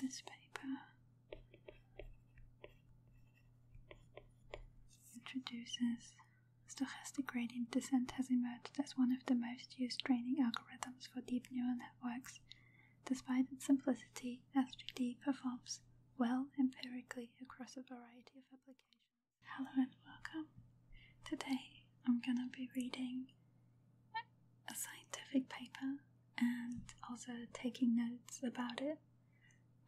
this paper introduces stochastic gradient descent has emerged as one of the most used training algorithms for deep neural networks. Despite its simplicity, SGD performs well empirically across a variety of applications. Hello and welcome. Today I'm going to be reading a scientific paper and also taking notes about it.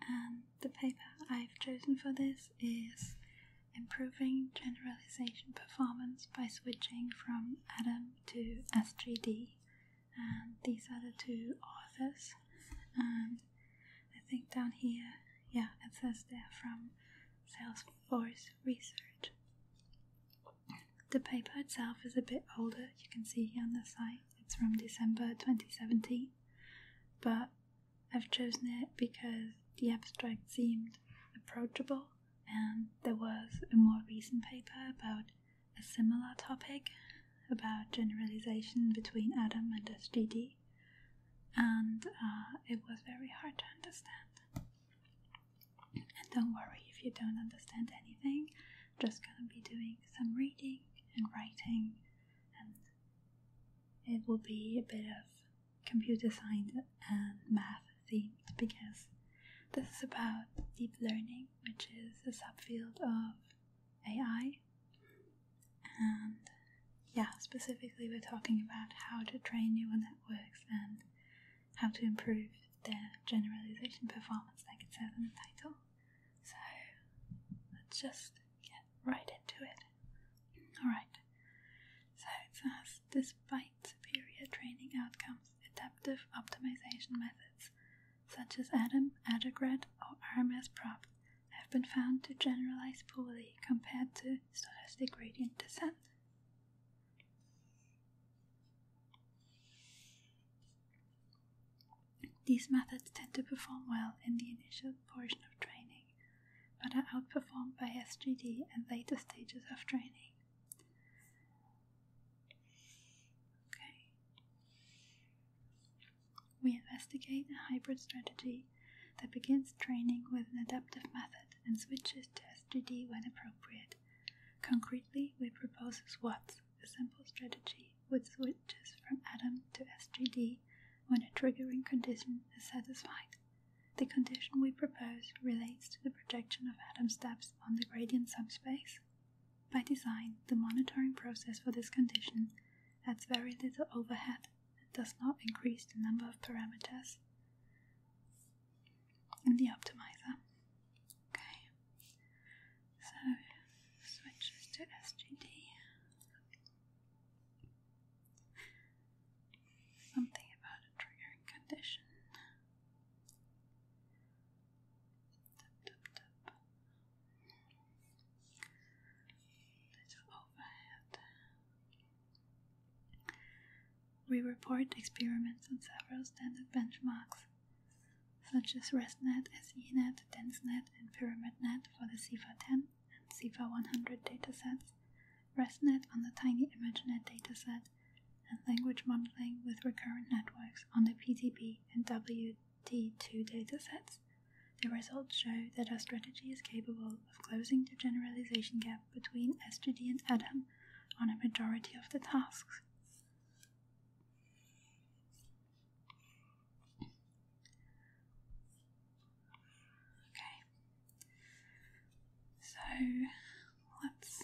And the paper I've chosen for this is Improving Generalization Performance by Switching from ADAM to SGD. And these are the two authors. And I think down here, yeah, it says they're from Salesforce Research. The paper itself is a bit older, you can see on the site, it's from December 2017, but I've chosen it because the abstract seemed approachable and there was a more recent paper about a similar topic about generalization between Adam and SGD and uh, it was very hard to understand. And don't worry if you don't understand anything, I'm just gonna be doing some reading and writing, and it will be a bit of computer science and math themed because this is about deep learning, which is a subfield of AI. And yeah, specifically, we're talking about how to train neural networks and how to improve their generalization performance, like it says in the title. So let's just get right into it. Alright, so it says despite superior training outcomes, adaptive optimization methods such as ADAM, ADAGRAD, or RMSProp have been found to generalize poorly compared to still has the gradient descent. These methods tend to perform well in the initial portion of training, but are outperformed by SGD in later stages of training. Okay. We investigate a hybrid strategy that begins training with an adaptive method and switches to SGD when appropriate. Concretely, we propose SWOTS, a simple strategy which switches from ADAM to SGD when a triggering condition is satisfied. The condition we propose relates to the projection of atom steps on the gradient subspace. By design, the monitoring process for this condition adds very little overhead that does not increase the number of parameters in the optimizer. Okay, so switches to SGD. Something about a triggering condition. Little overhead. We report experiments on several standard benchmarks, such as ResNet, SENet, DenseNet, and PyramidNet for the cifar 10 and cifar 100 datasets, ResNet on the Tiny ImageNet dataset, and language modeling with recurrent networks on the PTP and WT2 datasets. The results show that our strategy is capable of closing the generalization gap between SGD and Adam on a majority of the tasks. Okay, so let's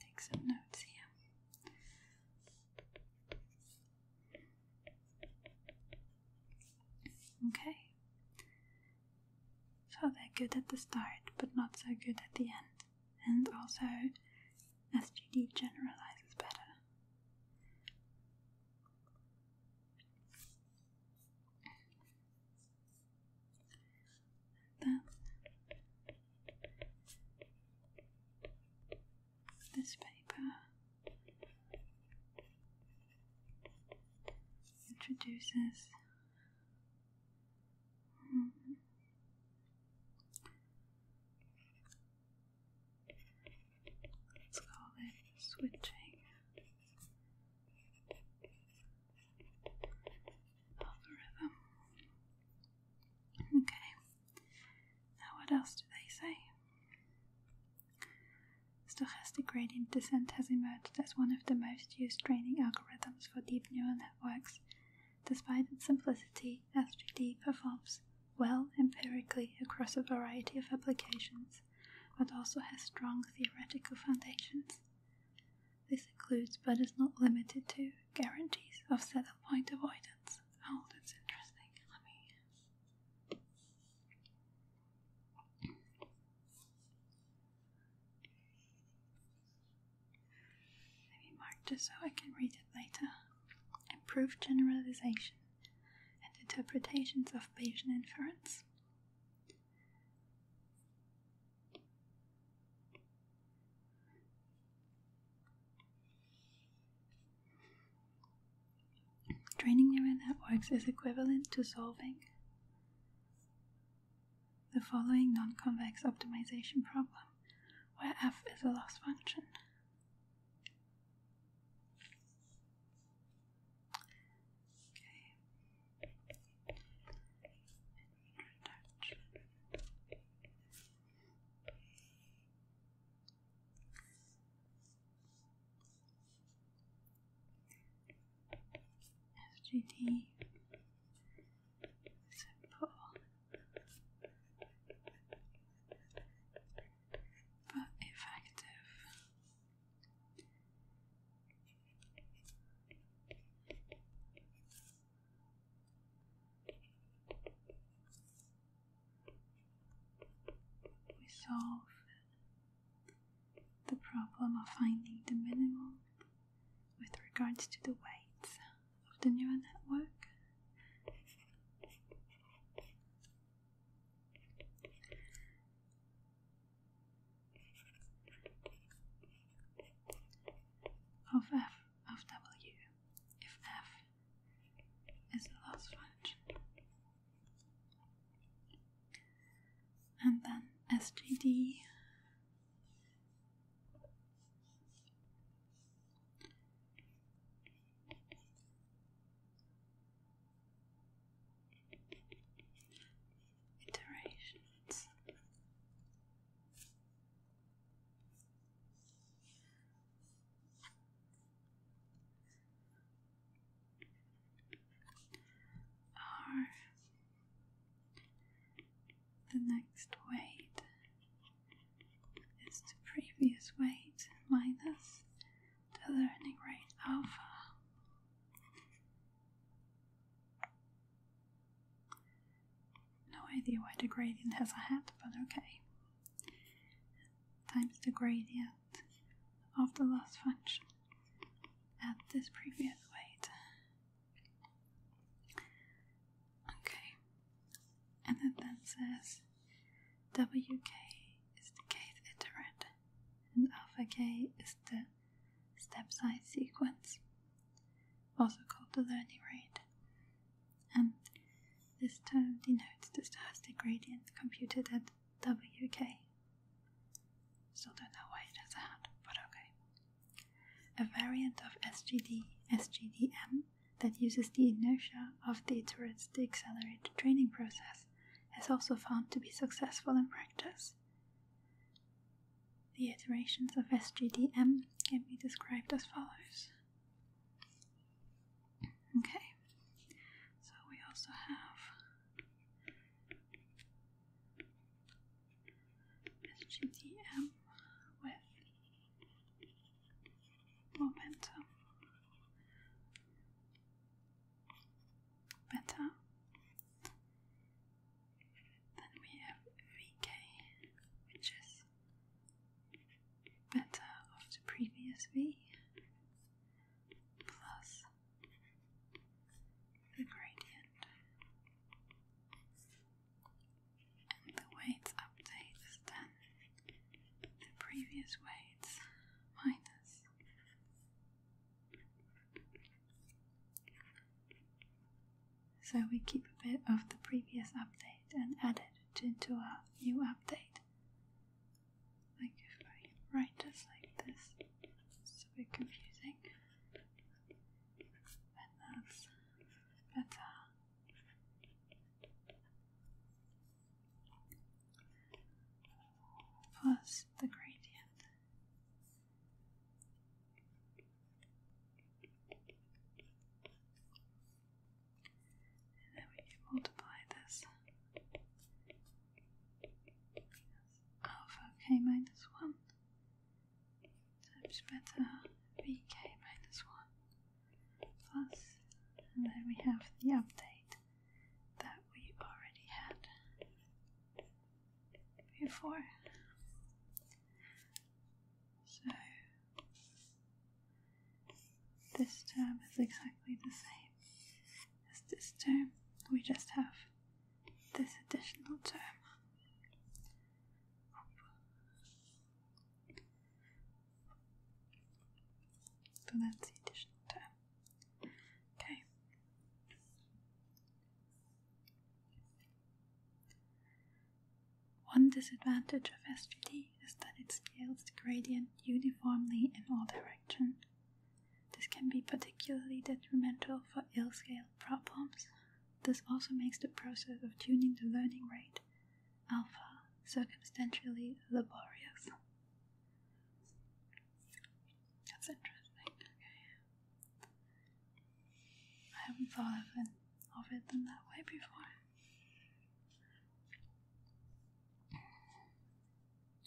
take some notes here. Okay. So they're good at the start, but not so good at the end. And also, SGD generalizes better. this paper introduces let's call it switching Okay. Now what else do they say? Stochastic gradient descent has emerged as one of the most used training algorithms for deep neural networks. Despite its simplicity, SGD performs well empirically across a variety of applications, but also has strong theoretical foundations. This includes, but is not limited to, guarantees of saddle point avoidance. Oh, that's interesting. Maybe mark just so I can read it later. Improve generalization and interpretations of Bayesian inference. Training neural networks is equivalent to solving the following non-convex optimization problem, where f is a loss function. FGD simple but effective. We solve the problem of finding the minimum with regards to the weights of the neural network. of f of w if f is the loss function and then SGD Iterations are the next weight is the previous weight minus the learning rate alpha. No idea why the gradient has a hat, but okay. Times the gradient of the last function at this previous weight. Okay, and it then says wk is the kth iterant and alpha k is the step size sequence, also called the learning rate. And this term denotes the stochastic gradient computed at WK. Still don't know why it has a but okay. A variant of SGD, SGDM, that uses the inertia of the iterations to accelerate the training process is also found to be successful in practice. The iterations of SGDM can be described as follows. Okay, so we also have SGDM with momentum better than we have VK, which is better of the previous V plus the gradient, and the weights update is then the previous weights minus so we keep a bit of the previous update and add it into our new update like if I write it like this, it's a bit confusing. And that's better. Plus the gradient. And then we multiply this alpha k minus 1 times beta vk minus 1 plus, and then we have the update that we already had before. So this term is exactly the same is this term. We just have this additional term. So that's the additional term. Okay. One disadvantage of SVD is that it scales the gradient uniformly in all directions this can be particularly detrimental for ill scaled problems. This also makes the process of tuning the learning rate, alpha, circumstantially laborious. That's interesting. Okay. I haven't thought of it, that way before.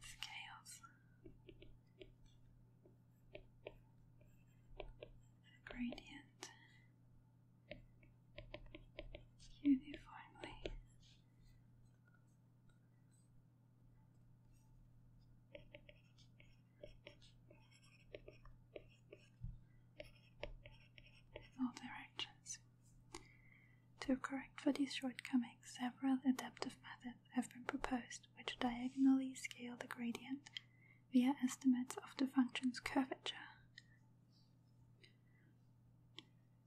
It's chaos. Gradient uniformly all directions. To correct for these shortcomings, several adaptive methods have been proposed which diagonally scale the gradient via estimates of the function's curvature.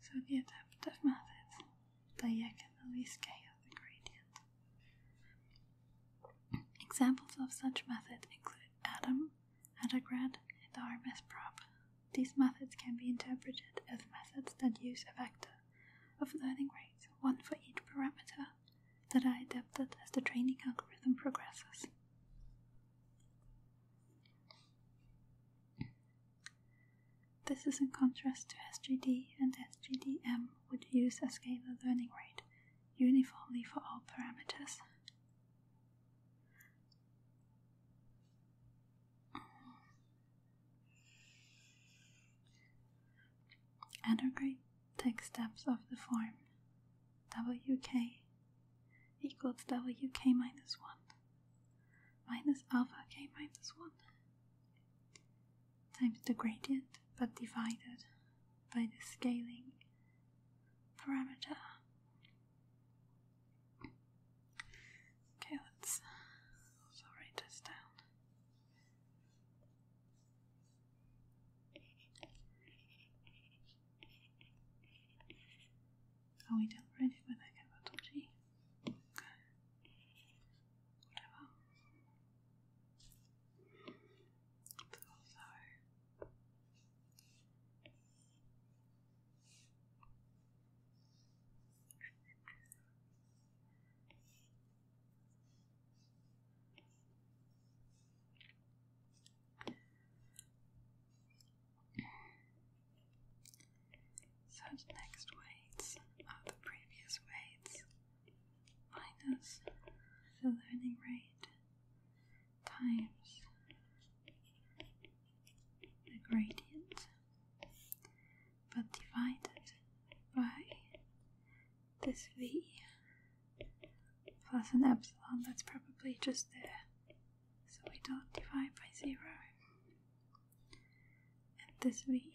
So the adaptive method diagonally scales the gradient. Examples of such methods include Adam, Adagrad, and the RMS These methods can be interpreted as methods that use a vector of learning rates, one for each parameter, that are adapted as the training algorithm progresses. This is in contrast to SGD and SGDM, would use a scalar learning rate uniformly for all parameters. Integrate text steps of the form wk equals wk minus 1 minus alpha k minus 1 times the gradient but divided by the scaling parameter. Okay, let's also write this down. Oh, we don't with a capital so, so next weights are the previous weights minus the learning rate times the gradient, but divided by this v plus an epsilon that's probably just there, so we don't divide by zero. And this v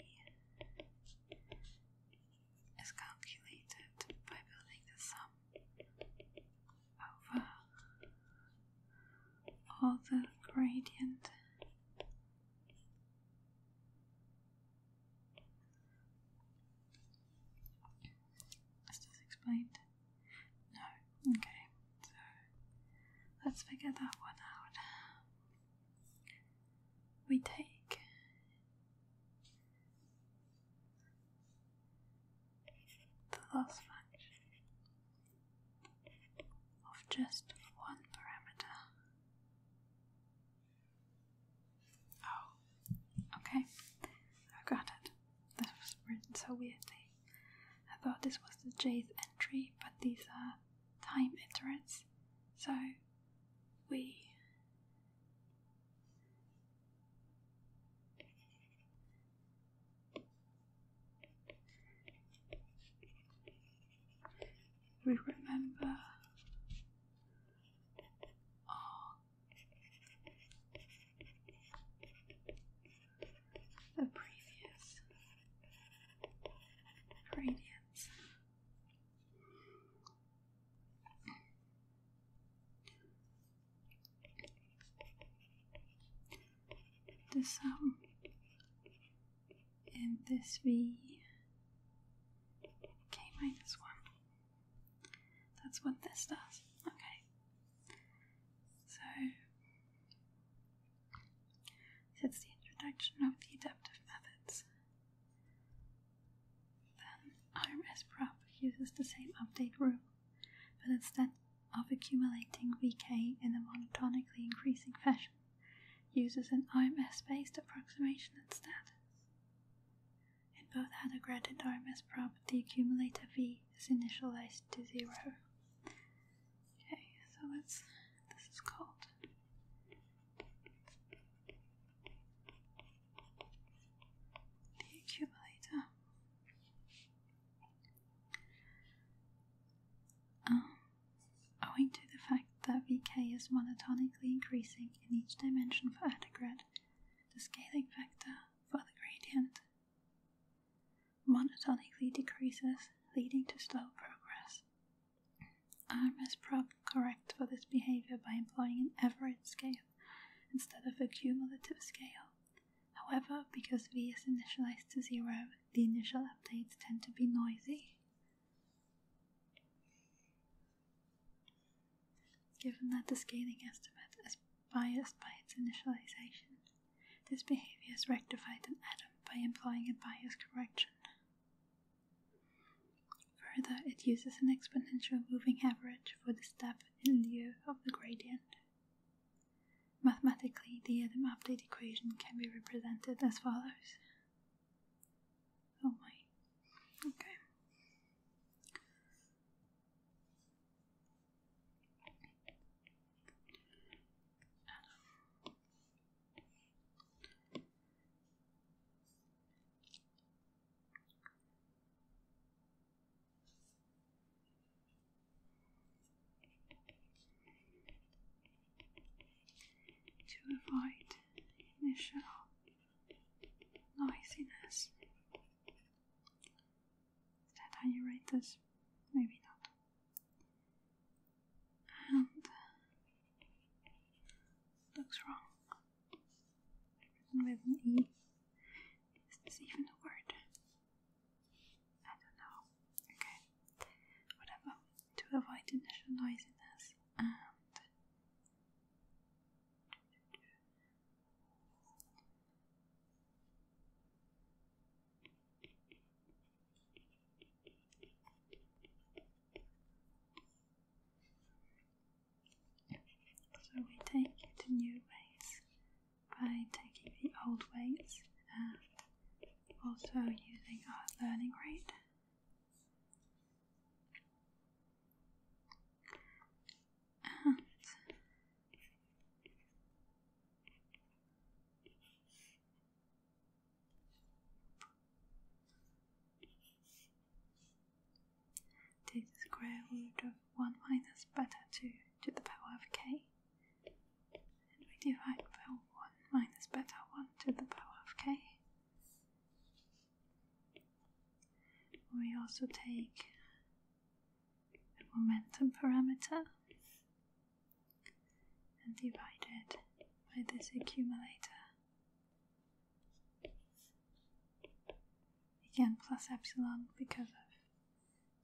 is calculated by building the sum over all the gradient is this explained? No. Okay, so let's figure that one out we take the last function of just one parameter. Oh, okay, I got it. This was written so weirdly. I thought this was the jth entry, but these are time iterates, so we we remember all the previous gradients this sum and this v k minus 1 that's what this does okay so that's the introduction of the adaptive methods then RMS prop uses the same update rule, but instead of accumulating VK in a monotonically increasing fashion, uses an RMS-based approximation instead. In both Hadograd and RMS prop, the accumulator V is initialized to zero. Okay, so let's this is called the accumulator. owing to the fact that VK is monotonically increasing in each dimension for Adagrad, the scaling factor for the gradient monotonically decreases, leading to slow progress. I'm as prob correct for this behavior by employing an average scale instead of a cumulative scale. However, because v is initialized to zero, the initial updates tend to be noisy. Given that the scaling estimate is biased by its initialization, this behavior is rectified in Adam by employing a bias correction. Further, it uses an exponential moving average for the step in lieu of the gradient. Mathematically, the Adam update equation can be represented as follows. Oh to avoid initial noisiness, is that how you rate this? Maybe not. And looks wrong with an E. Is this even a word? I don't know. Okay. Whatever. To avoid initial noisiness and so we take the new ways by taking the old ways and also using our learning rate. Take the square root of 1 minus beta 2 to the power of k, and we divide by 1 minus beta 1 to the power of k. We also take the momentum parameter and divide it by this accumulator again plus epsilon because of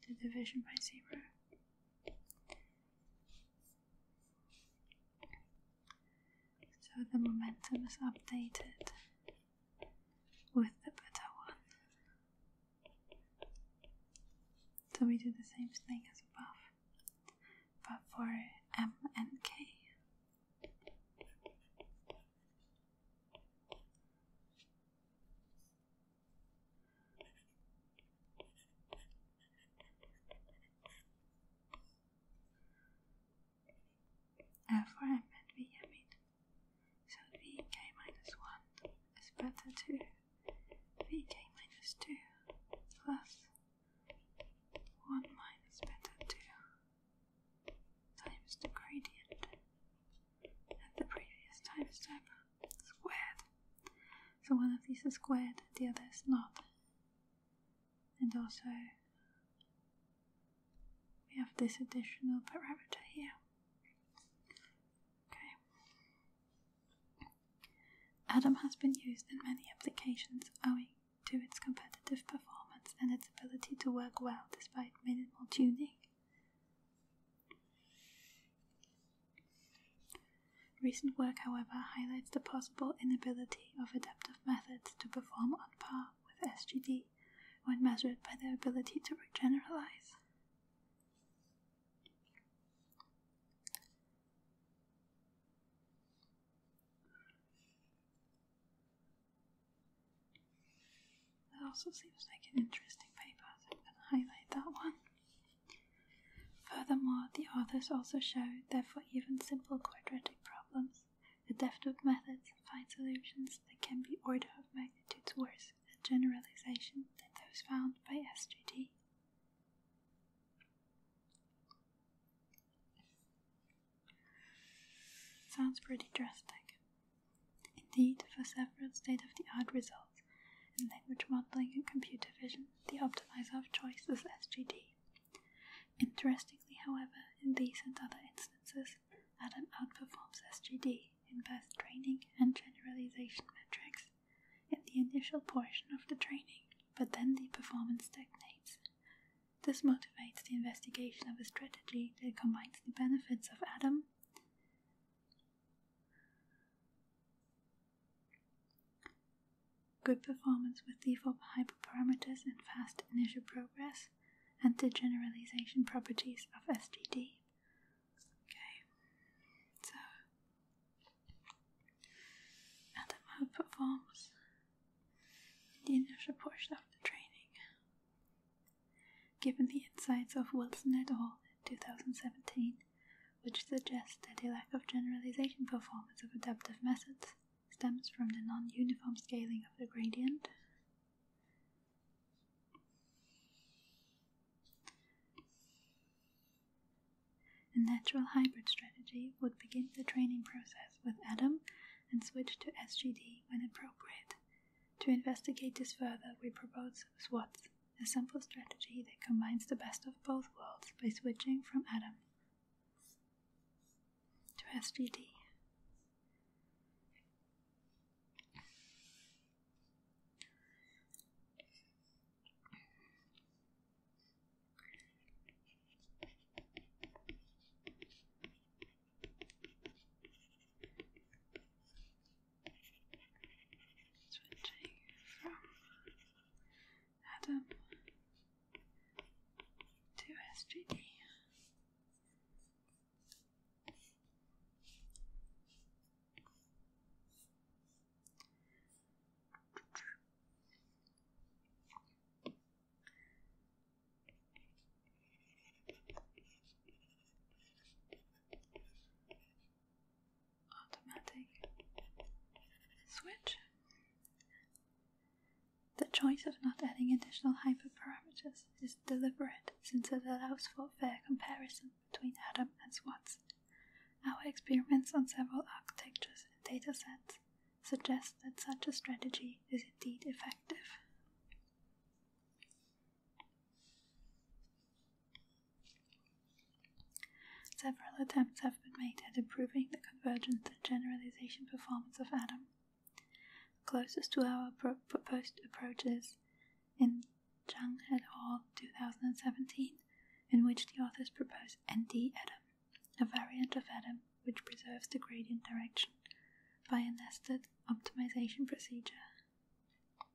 the division by zero. So the momentum is updated with the better one. So we do the same thing as above, but for m and k. Therefore, uh, I bet we have it. So vk minus 1 is better to vk minus 2 plus 1 minus better 2 times the gradient at the previous time step squared. So one of these is squared, the other is not. And also, we have this additional parameter here. Okay. Adam has been used in many applications owing to its competitive performance and its ability to work well despite minimal tuning. Recent work, however, highlights the possible inability of adaptive methods to perform on par with SGD when measured by their ability to generalize. That also seems like an interesting paper, I'm going to highlight that one. Furthermore, the authors also show, that for even simple quadratic problems, the Deftwood methods find solutions that can be order of magnitudes worse at generalization than those found by SGD. Sounds pretty drastic. Indeed, for several state of the art results in language modeling and computer vision, the optimizer of choice is SGD. Interestingly, however, in these and other instances, Adam outperforms SGD in both training and generalization metrics in the initial portion of the training, but then the performance stagnates. This motivates the investigation of a strategy that combines the benefits of Adam good performance with default hyperparameters and fast initial progress, and the generalization properties of SGD. Okay, so Adam performs the initial pushed of the training. Given the insights of Wilson et al. in 2017, which suggests that a lack of generalization performance of adaptive methods stems from the non uniform scaling of the gradient, a natural hybrid strategy would begin the training process with Adam and switch to SGD when appropriate. To investigate this further, we propose SWOTS, a simple strategy that combines the best of both worlds by switching from Adam to SGD. Switching from Adam to SGD. Automatic switch. The choice of not adding additional hyperparameters is deliberate since it allows for fair comparison between Adam and Swartz. Our experiments on several architectures and datasets Suggest that such a strategy is indeed effective. Several attempts have been made at improving the convergence and generalization performance of Adam. Closest to our proposed approaches, in Zhang et al. 2017, in which the authors propose ND Adam, a variant of Adam which preserves the gradient direction by a nested optimization procedure.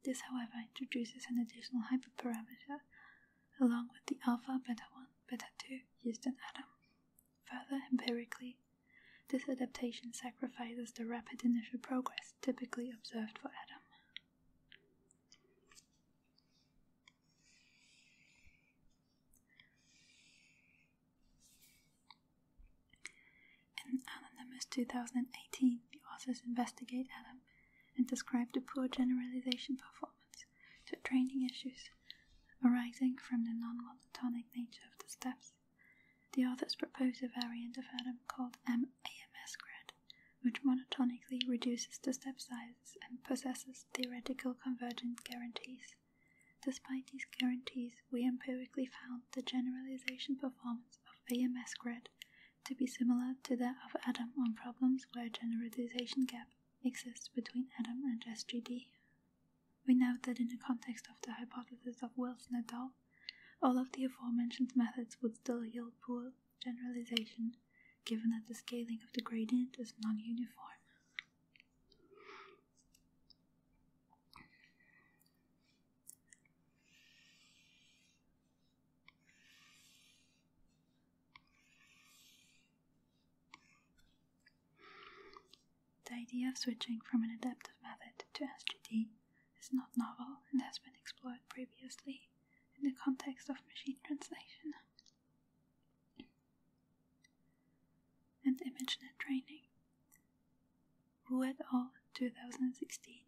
This, however, introduces an additional hyperparameter along with the alpha, beta 1, beta 2 used in Adam. Further, empirically, this adaptation sacrifices the rapid initial progress typically observed for Adam. In anonymous 2018, the authors investigate Adam and describe the poor generalization performance to training issues arising from the non monotonic nature of the steps. The authors propose a variant of Adam called MAMS grad, which monotonically reduces the step sizes and possesses theoretical convergence guarantees. Despite these guarantees, we empirically found the generalization performance of AMS grid to be similar to that of ADAM on problems where a generalization gap exists between ADAM and SGD. We note that in the context of the hypothesis of Wilson et al., all of the aforementioned methods would still yield poor generalization, given that the scaling of the gradient is non uniform. The idea of switching from an adaptive method to SGD is not novel and has been explored previously in the context of machine translation and ImageNet training, who et al. 2016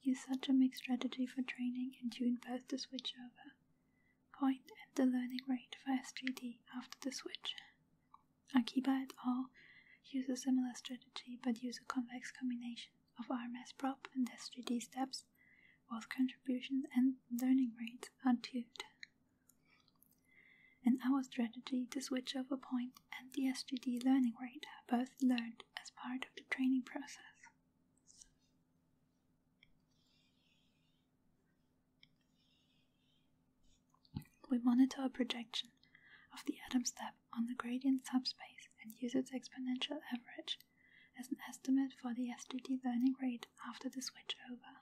used such a mixed strategy for training and tuned both the switchover point and the learning rate for SGD after the switch. Akiba et al. use a similar strategy but use a convex combination of RMSProp and SGD steps, both contributions and learning rates are tuned. In our strategy to switch over point and the SGD learning rate are both learned as part of the training process. We monitor a projection of the Adam step on the gradient subspace and use its exponential average as an estimate for the SGD learning rate after the switch over.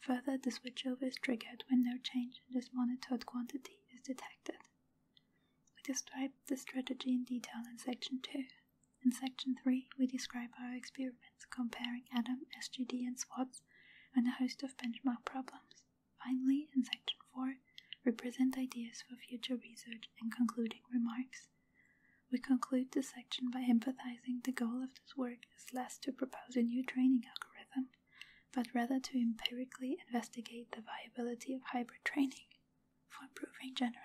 Further, the switchover is triggered when no change in this monitored quantity is detected. We describe the strategy in detail in Section 2. In Section 3, we describe our experiments comparing ADAM, SGD, and SWOTS and a host of benchmark problems. Finally, in Section 4, we present ideas for future research and concluding remarks. We conclude this section by emphasizing the goal of this work is less to propose a new training algorithm but rather to empirically investigate the viability of hybrid training for improving generalization.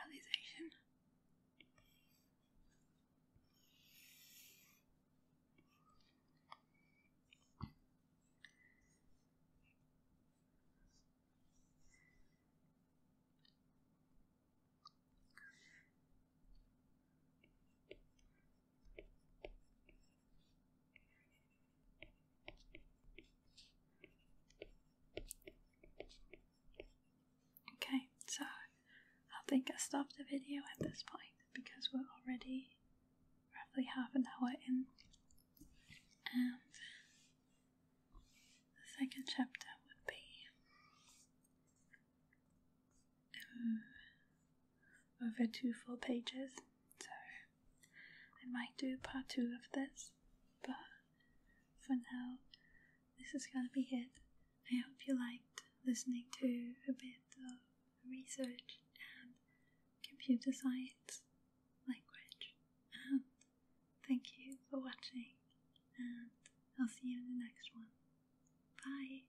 Okay, so I think I stop the video at this point because we're already roughly half an hour in. And um, the second chapter would be over two full pages, so I might do part two of this, but for now, this is gonna be it. I hope you liked listening to a bit of research and computer science language, and thank you for watching, and I'll see you in the next one. Bye!